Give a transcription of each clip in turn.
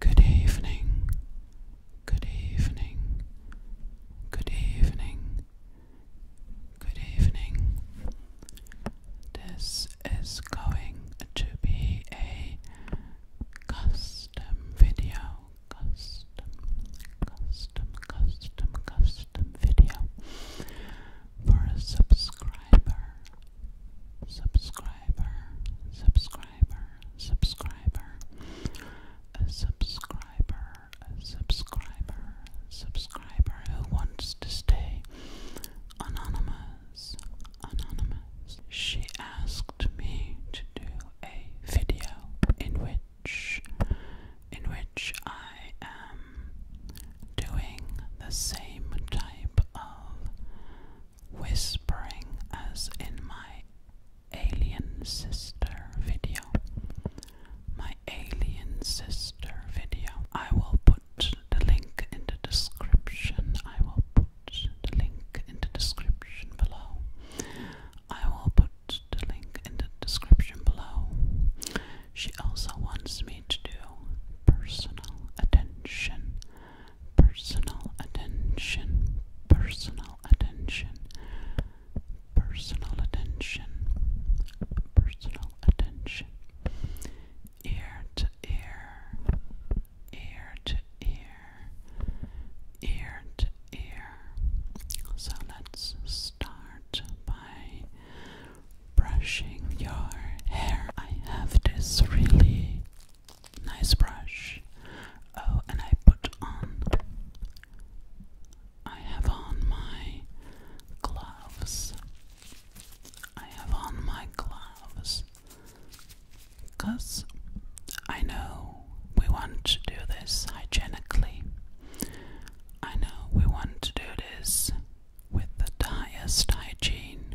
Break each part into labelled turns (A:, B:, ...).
A: Good evening. Good evening. Good evening. Good evening. This is going to be a custom video. Custom, custom, custom, custom video for a subscriber. Subscriber, subscriber, subscriber, a subscriber, a subscriber, subscriber who wants to stay anonymous, anonymous. She asked me to do a video in which, in which I am doing the same type of whispering as in my alien sister video. My alien sister video. I will put the link in the description. I will put the link in the description below. I will put the link in the description below. She also wants me to do personal attention personal attention, personal attention, personal attention, personal attention, ear to ear, ear to ear, ear to ear. So let's start by brushing your hair. I have this really Nice brush. Oh, and I put on. I have on my gloves. I have on my gloves. Because I know we want to do this hygienically. I know we want to do this with the highest hygiene.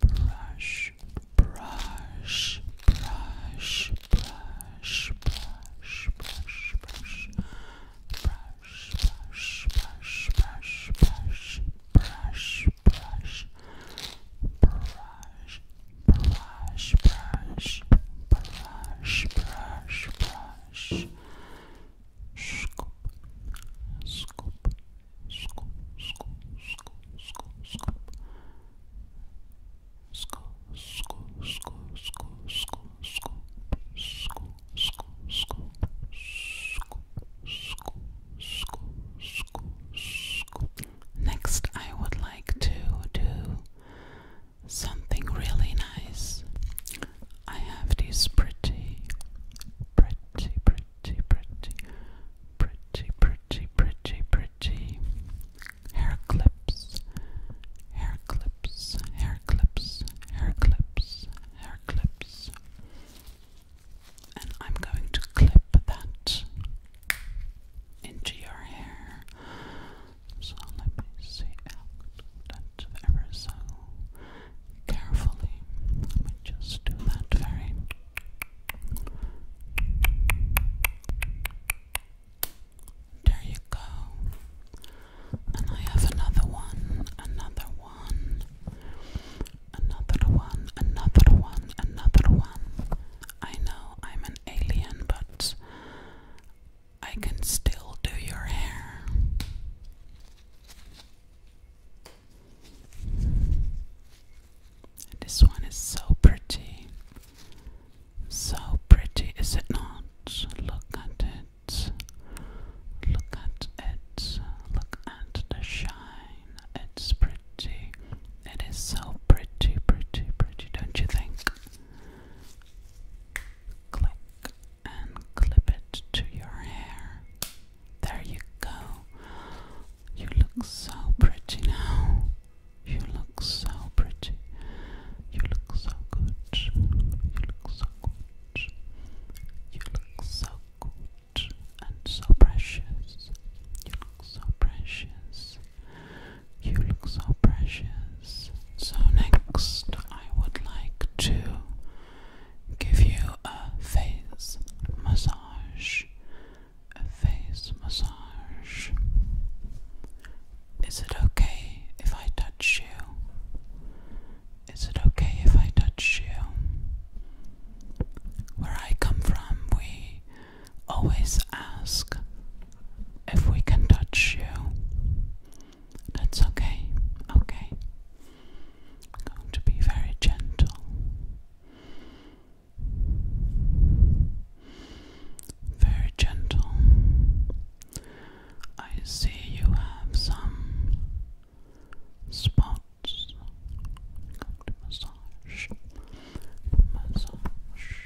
A: brush, brush, brush, brush, brush, brush, brush, brush, brush, brush, brush, brush, brush, brush, brush. Brush, brush, brush, brush, brush. Scoop, scoop, Next, I would like to do something really nice. I have these pretty, pretty, pretty, pretty, pretty, pretty, pretty, pretty, pretty hair clips, hair clips, hair clips, hair clips, hair clips. And I'm going to clip that into your hair. So let me see out that ever so carefully. Let me just do that very. There you go. And I have another one, another one, another one, another one, another one. I know I'm an alien, but I can still do your hair. This one is so pretty. So pretty, is it not? Look at it. Look at it. Look at the shine. It's pretty. It is so pretty, pretty, pretty, don't you think? Click and clip it to your hair. There you go. You look so pretty now. You look so pretty. You look so good. You look so good. You look so good and so precious. You look so precious. You look so precious. So, next, I would like to give you a face massage. A face massage. Is it okay if I touch you? Is it okay if I touch you? Where I come from, we always ask if we can touch you. That's okay, okay. going to be very gentle. Very gentle. I see you have some spots. massage, massage,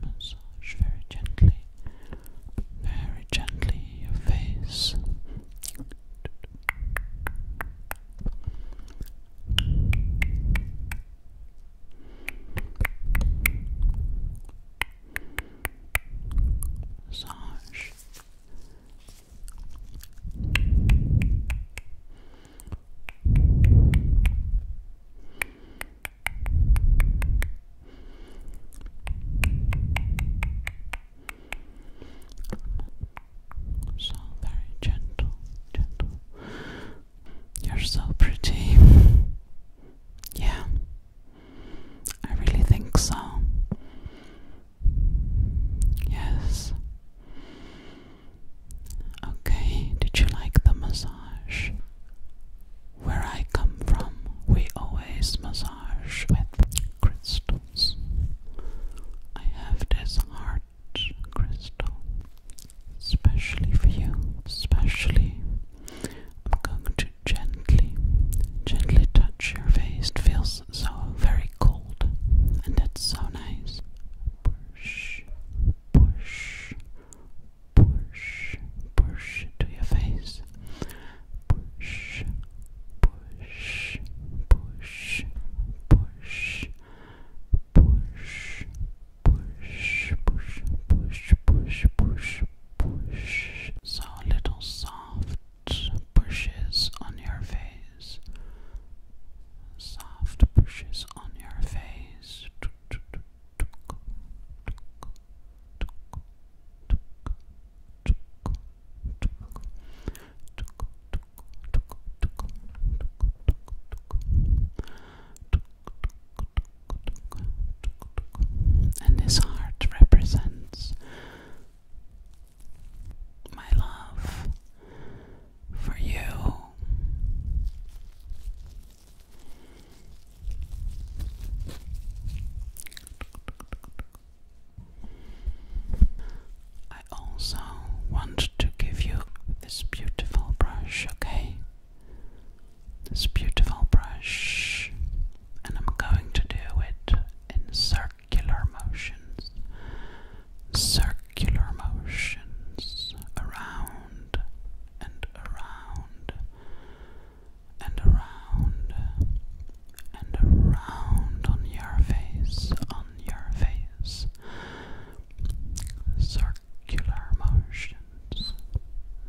A: massage very gently, very gently your face. Massage. Massage. So very gentle, gentle. You're so pretty. Yeah, I really think so. Yes. Okay, did you like the massage? Where I come from, we always massage with crystals. I have this heart crystal, especially for you, especially. I'm going to gently, gently touch your face. It feels so very cold, and it's so nice. Push, push, push, push to your face push, push, push, push, push, push, push, push, push, push, push. So little soft pushes on your face. Soft pushes on your face. And this heart represents my love for you. I also want to give you this beautiful brush, okay? This beautiful brush, and I'm going to do it in circular motions, circular motions around and around and around and around on your face, on your face. Circular motions,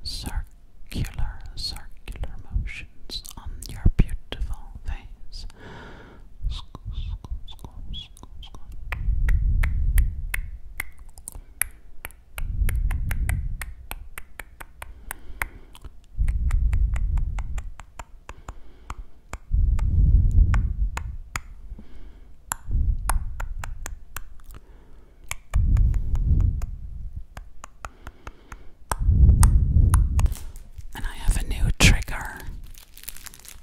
A: circular, circular motions on your beautiful face. And I have a new trigger,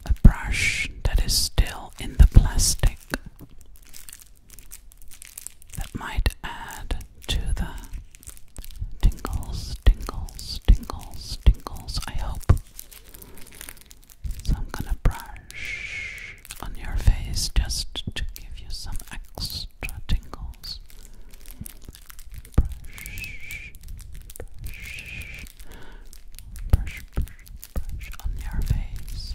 A: a brush that is still in the plastic that might add to the tingles, tingles, tingles, tingles, I hope. So I'm gonna brush on your face just to give you some extra tingles. Brush, brush, brush, on your face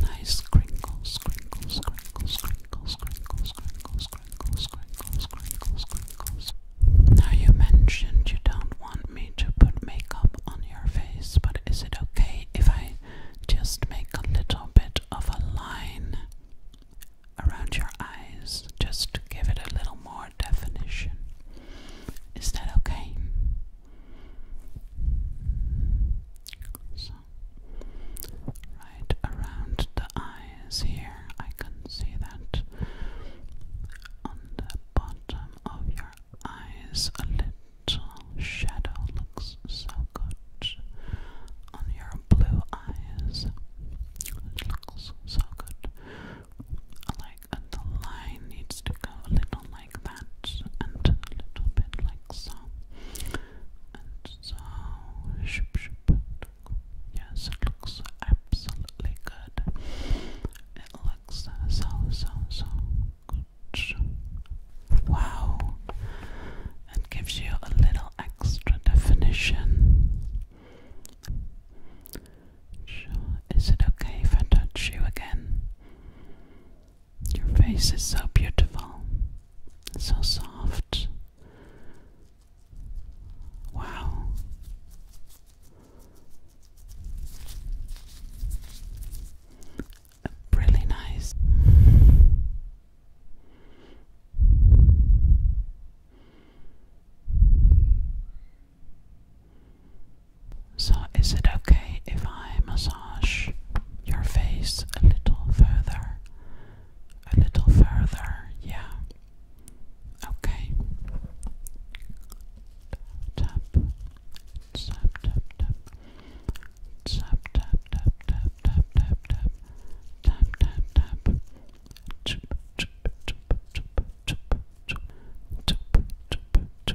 A: Nice crinkles, crinkles, crinkles, crinkles, crinkles, crinkles, crinkles, crinkles, crinkles, crinkles. Now you mentioned you don't want me to put makeup on your face, but is it okay if I just make a little bit of a line around your eyes just to give it a little more definition? Is that okay? So, right around the eyes here, I can see that on the bottom of your eyes, a little shadow looks so good on your blue eyes. It looks so good. Like the line needs to go a little like that and a little bit like so. And so shoop shoop. Yes, it looks absolutely good. It looks so so so good. Wow. It gives you a little extra definition. Sure. Is it okay if I touch you again? Your face is so beautiful, so soft. Wow. Really nice. So, is it okay if I massage your face a little further? A little further, yeah. Okay. Tap, tap, tap, tap. Tap, tap, tap, tap, tap, tap, tap. Tap, tap, tap. Chup, chup, chup, chup, chup, chup. Chup, chup, chup,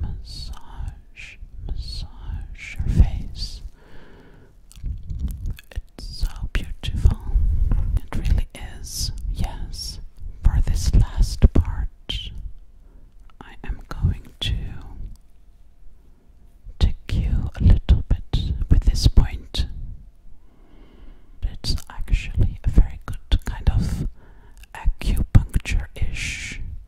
A: massage, massage your face. It's so beautiful. It really is. Yes. For this last part, I am going to tick a little bit with this point. It's actually a very good kind of acupuncture ish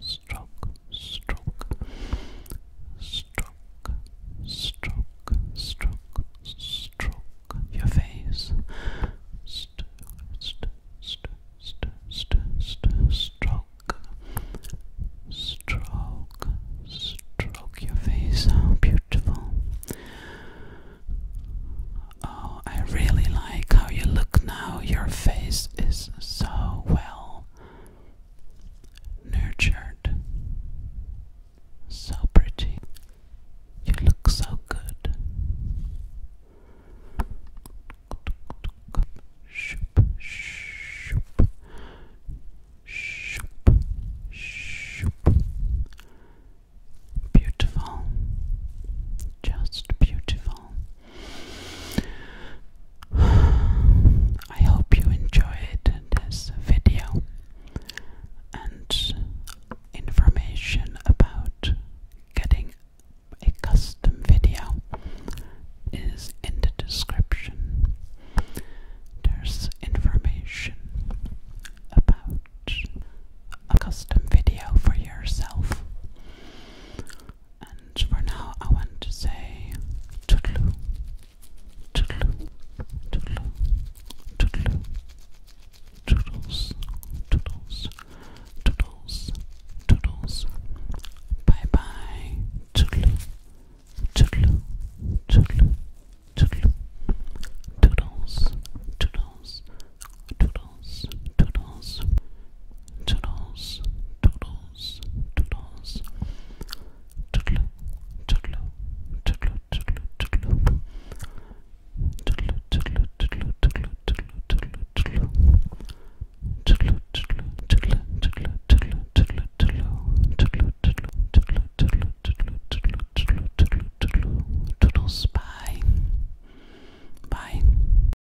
A: stroke, stroke, stroke, stroke, stroke, stroke your face. St st st st st stroke, stroke, stroke your face. How beautiful! Oh, I really like how you look now. Your face is so well nurtured. So pretty. You look so good. Shoop, shoop, shoop, shoop. Beautiful. Just beautiful. I hope you enjoyed this video and information about getting a custom video is in the description. There's information about a custom video for yourself. And for now, I want to say toodaloo, toodaloo, toodaloo, toodaloo, toodles, toodles, toodles, toodles. Bye bye, toodaloo, toodaloo, toodaloo, toodaloo, toodles, toodles, toodles, toodles. Toodles, toodles, toodles. Toodaloo, toodaloo, toodaloo, toodaloo, toodaloo. Toodaloo, toodaloo, toodaloo, toodaloo, toodaloo, toodaloo, toodaloo. Toodaloo, toodaloo, toodaloo, toodaloo, toodaloo, toodaloo. Toodaloo, toodaloo, toodaloo, toodaloo, toodaloo, toodaloo, toodaloo, toodaloo, toodaloo. Toodles, bye. Bye.